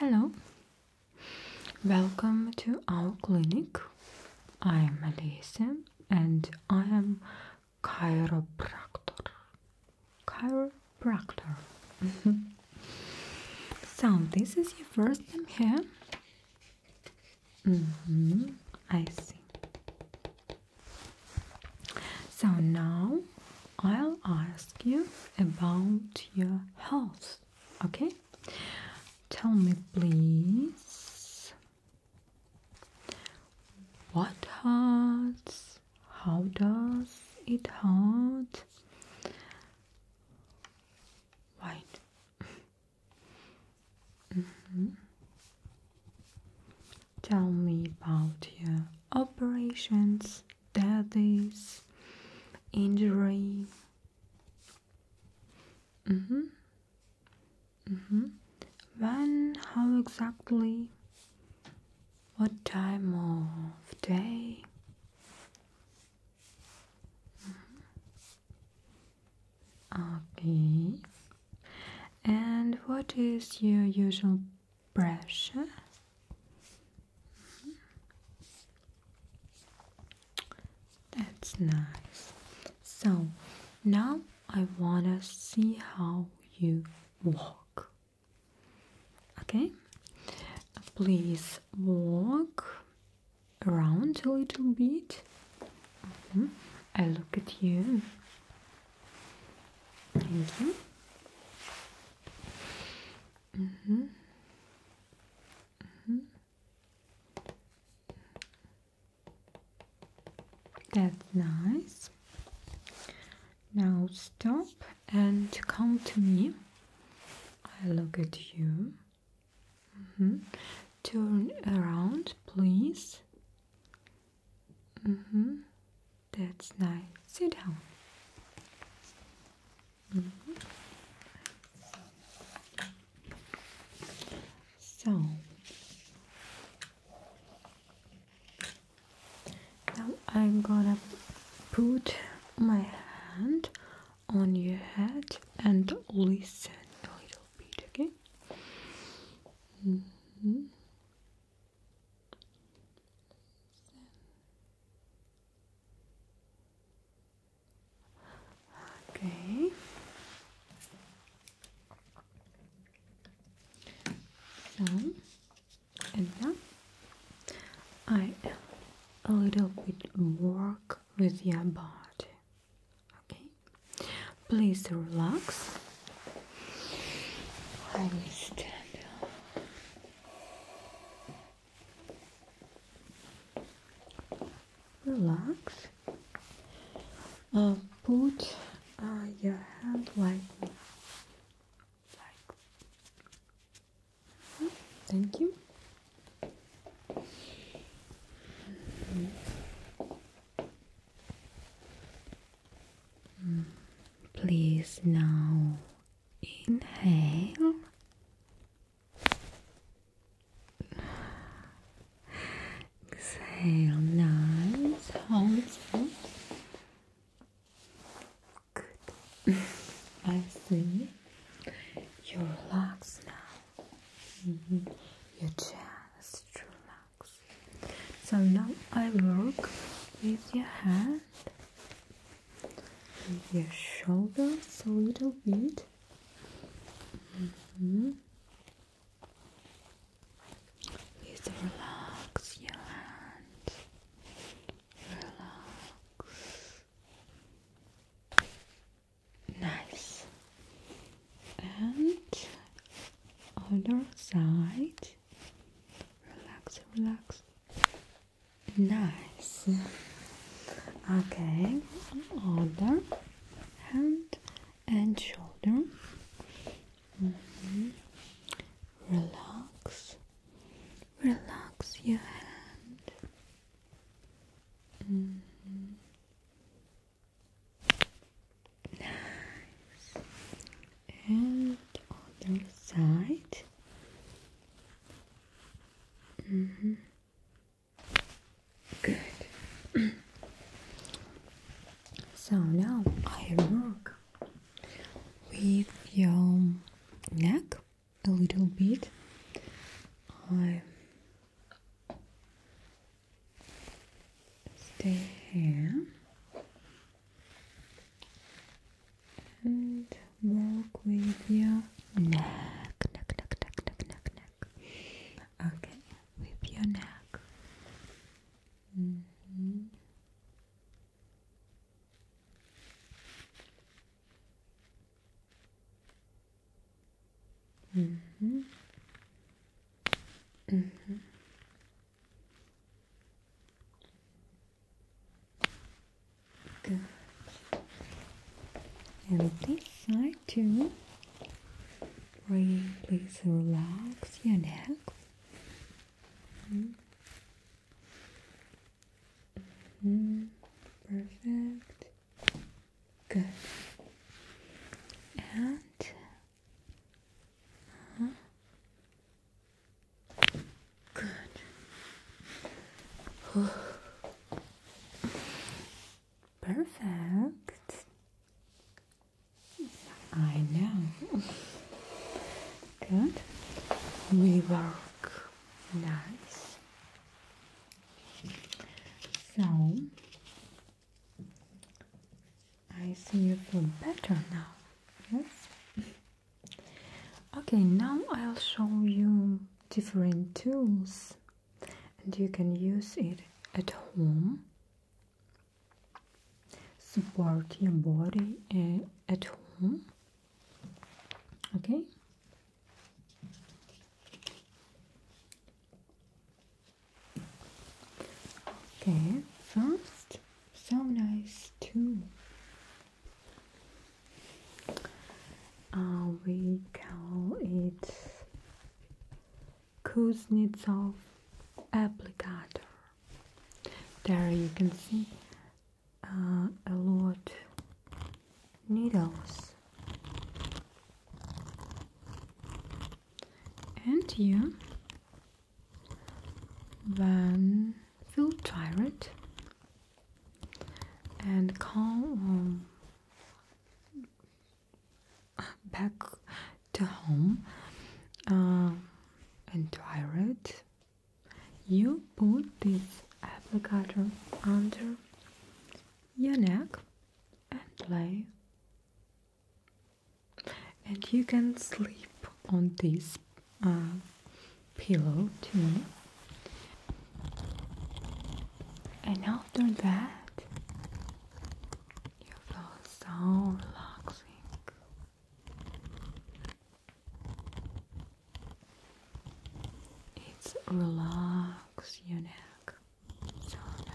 Hello, welcome to our clinic. I am Alessia and I am chiropractor. Chiropractor. Mm-hmm. so this is your first time here. Mm-hmm. I see. So now I'll ask you about your health. Okay? Tell me, please. What hurts? How does it hurt? White. Mm-hmm. Tell me about your operations, daddies, injury. Mm -hmm. Mm -hmm. When? How exactly? What time of day? Mm-hmm. Okay. And what is your usual pressure? Mm-hmm. That's nice. So now I wanna see how you walk. Okay? Please walk around a little bit. Mm-hmm. I look at you. Thank you. Mm -hmm. Mm -hmm. That's nice. Now stop and come to me. I look at you. Mm-hmm. Turn around, please. Mm-hmm. That's nice. Sit down. Mm-hmm. So, now I'm gonna put my hand on your head and listen a little bit, again. Okay. Mm-hmm. So, and now I a little bit work with your body. Okay, please relax relax. Uh, put uh, your hand like like. Thank you. Mm-hmm. Please now inhale Exhale, nice. I see. You are relaxed now. Mm -hmm. Your chest relax. So now I work with your hand, with your shoulders a little bit. Mm-hmm is relax your hands. Relax. Nice. And other side. Relax, relax. Nice. Okay. Other hand and shoulder. Mm-hmm. Relax, relax your hand. Mm-hmm. Nice. And other side. Mm-hmm. Good. so now I work with your neck a little bit. I stay here and work with your neck, neck, neck, neck, neck, neck, neck neck. Okay, with your neck. Mm -hmm. Mm -hmm. Mm -hmm. Good. And this side. Two, to really relax your neck. Mm-hmm. Perfect. Good. And uh-huh. good. Perfect. I know. Good. We work nice. So I see you feel better now. Yes. Okay, now I'll show you different tools and you can use it at home support your body eh, at home okay okay first so nice too uh, we call it Kuznetsov applicator. There you can see uh, a lot needles. And here, when feel tired and calm back to home uh, and tired, you put this applicator under your neck and lay, and you can sleep on this uh, pillow too. And after that, you feel so relaxing. It's relax your neck. So nice.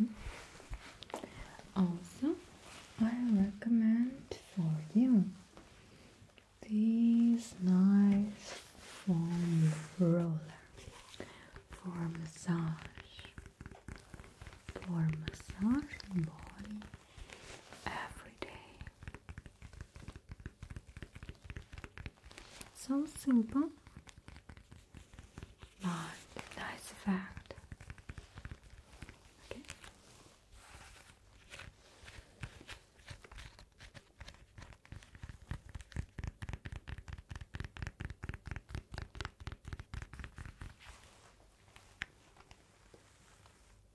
Mm-hmm. Also, I recommend for you this nice foam roller for massage, for massaging body every day. So simple, but nice effect.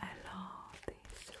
I love this reel.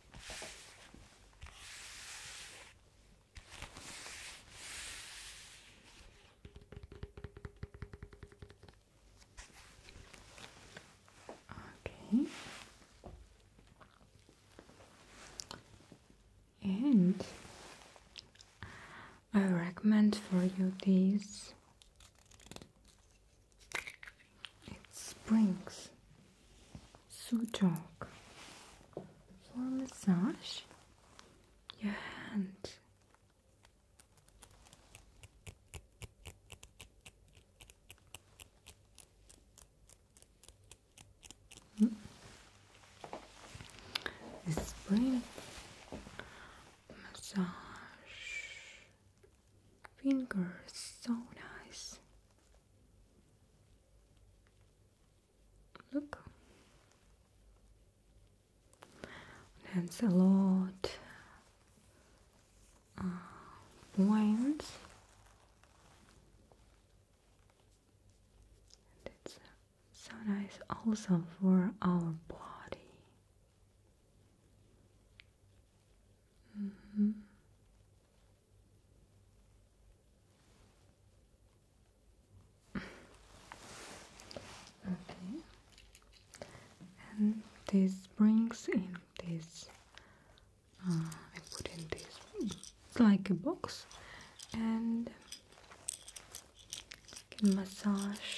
Okay. And I recommend for you this. It springs. Sujong. For massage your hand. Mm. spring massage fingers so nice. Look, that's a lot uh, points. And uh, so nice also for our body. Mm -hmm. Okay, and this brings in this. Uh, I put in this like a box, and can massage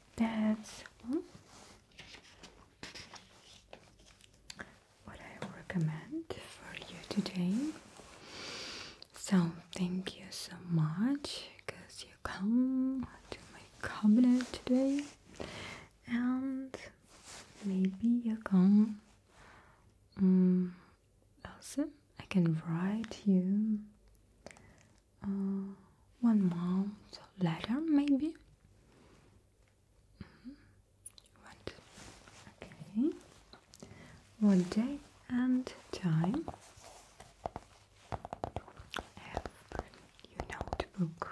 that's all what I recommend for you today. So thank you so much because you come to my cabinet today and maybe you come also mm, I can write you uh, one month later, maybe. Mm Okay. What day and time have you notebook?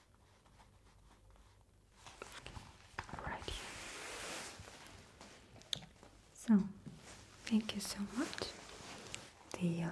Alrighty. So, thank you so much. See you